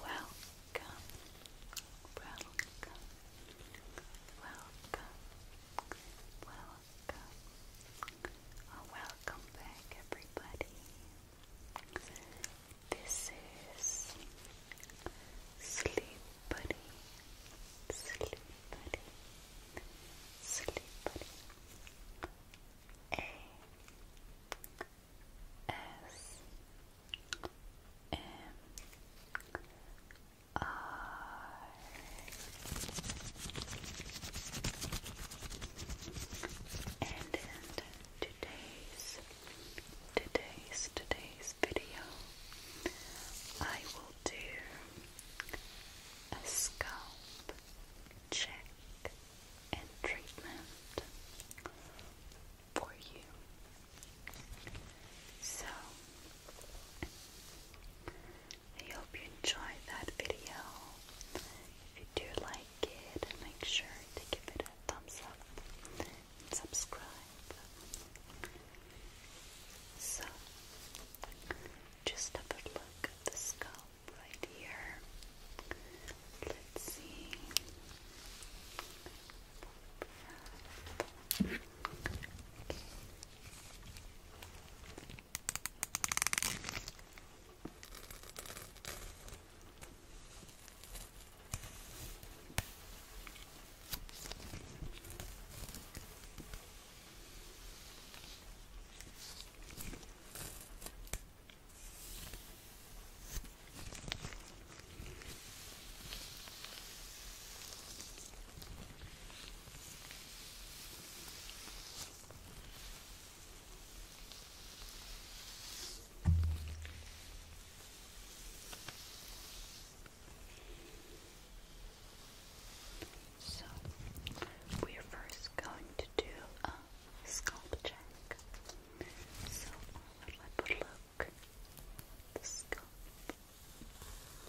Welcome, welcome, welcome, welcome. welcome back, everybody. This is Sleep Buddy, Sleep Buddy, S M R and end today's today's today's video I will do a scalp check and treatment for you. So, I hope you enjoyed that video. If you do like it, make sure to give it a thumbs up and subscribe. So, just have a look at the scalp right here. Let's see. So we're first going to do a um, scalp check. So I would like to look at the scalp. Okay.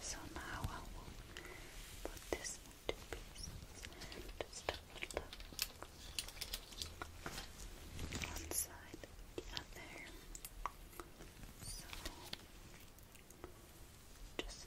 So now I will put this into pieces and stuff them one side the other. So just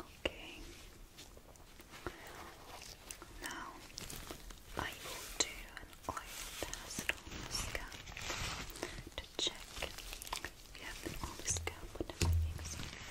Okay. Now I will do an oil test on the scalp to check if you have been on scalp under my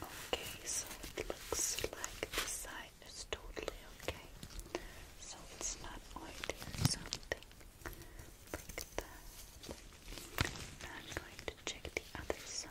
Okay, so it looks like the side is totally okay. So it's not oily or something like that. Uh, I'm going to check the other side.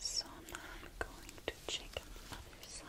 So now I'm going to check the other side.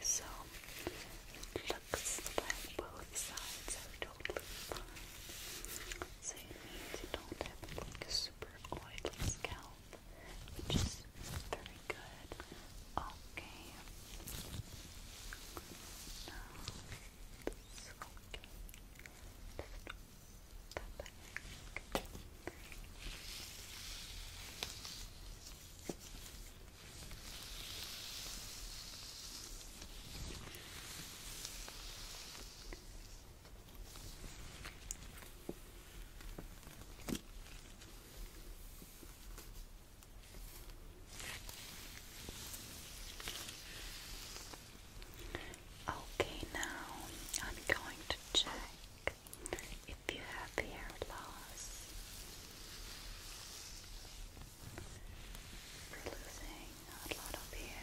so it looks like both sides are totally fine. So you don't have like super oily scalp, which is very good. Okay. Now, this okay. Okay, now I'm going to check if you have hair loss, losing a lot of hair.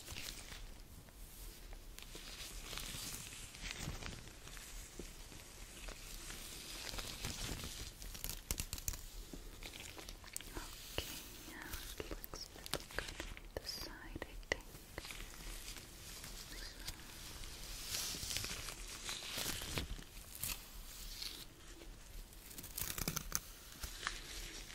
Okay, yeah, it looks pretty good on the side, I think. So.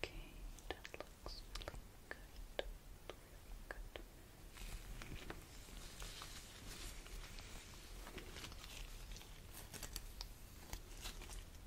Okay, that looks good. good.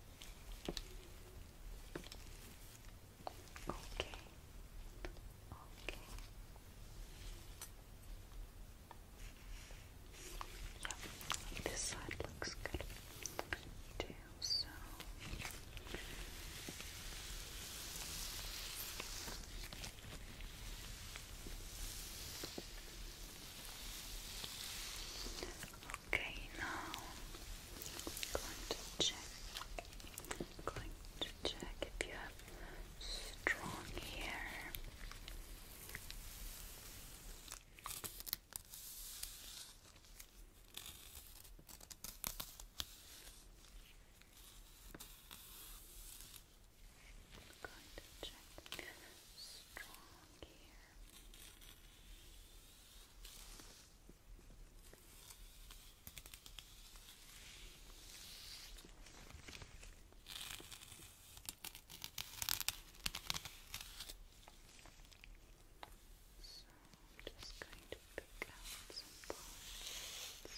Okay. Okay. Yep. This side looks good too. So. Okay, now going to check. going to check if you have strong here. going to check strong hair. So I'm just going to pick out some parts and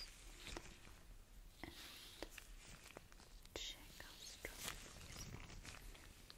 check how strong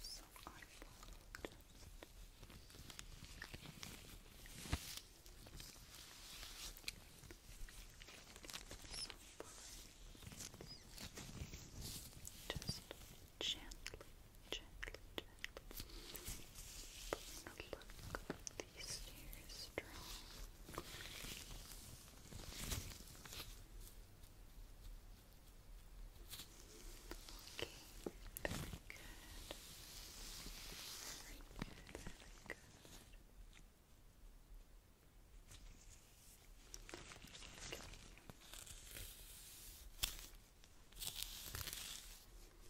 So I will just gently, gently, gently Look, these are strong. Okay, very good. Very good, very good.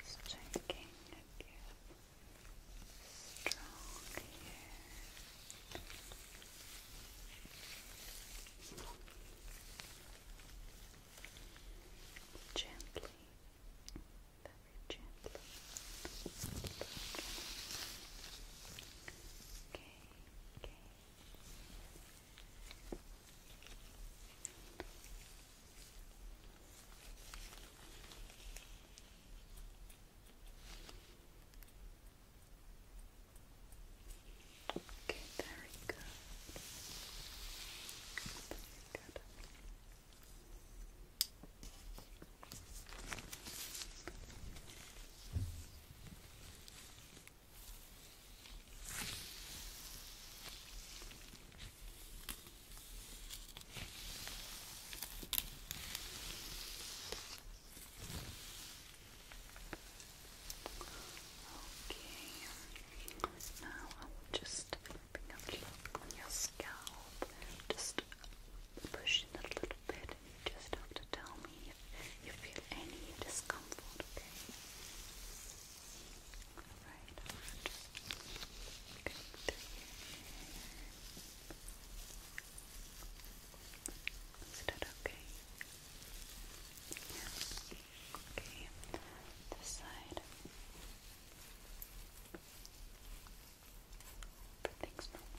Just checking again. Strong Gently, very gently. Okay okay. Okay, very good. Very good. Okay. Now I will just bring a your scalp. Just pushing a little bit you just have to tell me if you feel any discomfort, Alright, I'll just go that okay? Okay, this side. Everything's normal.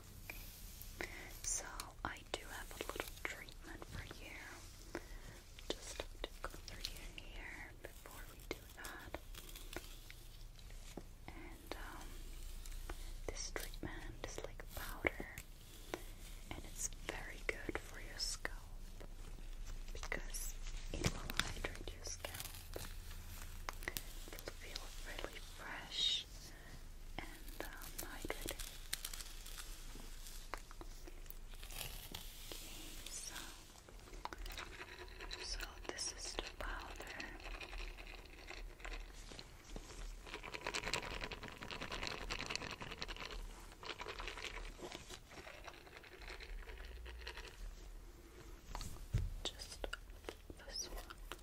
So I do have a little treatment for you. Just go through your before we do that. And um, this treatment is like powder, and it's very good for your scalp because it will hydrate your scalp. It'll feel really fresh and um, Okay, so, so this is the powder. Just this one.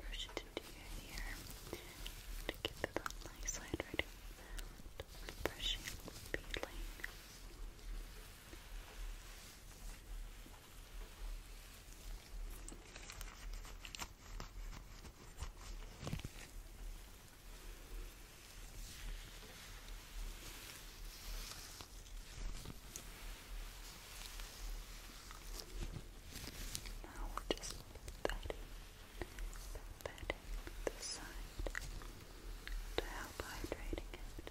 Brush it into your ear to get it on side right Brushing, peeling. Now we'll just put that in, put the side to help hydrating it.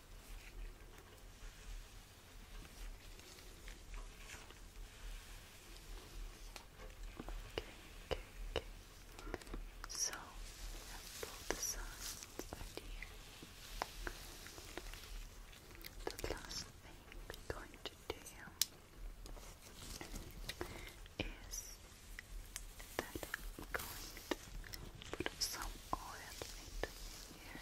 Okay, okay, So we have both the here. The last thing we're going to do is that I'm going to put some oil into here.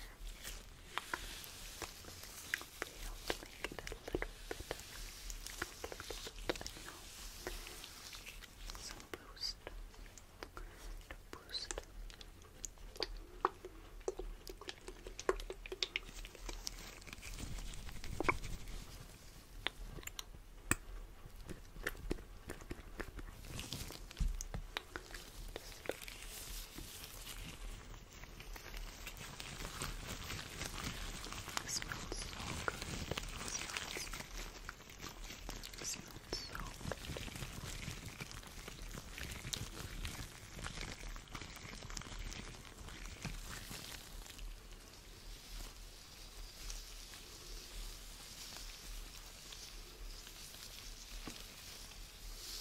They help make it a little bit, a little bit, you know, some boost, to boost. Good. It smells so good. It smells, it smells so good. It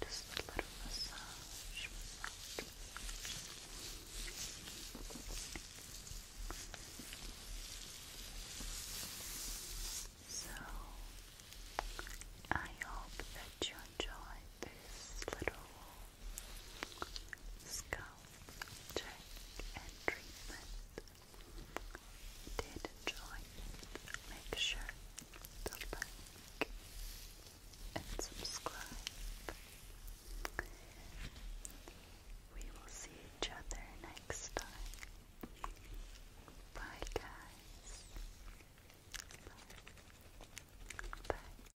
Just a little massage, So, I hope that you enjoyed this little Scalp check and treatment. Did enjoy Make sure to like and subscribe. We will see each other next time. Bye, guys. Bye.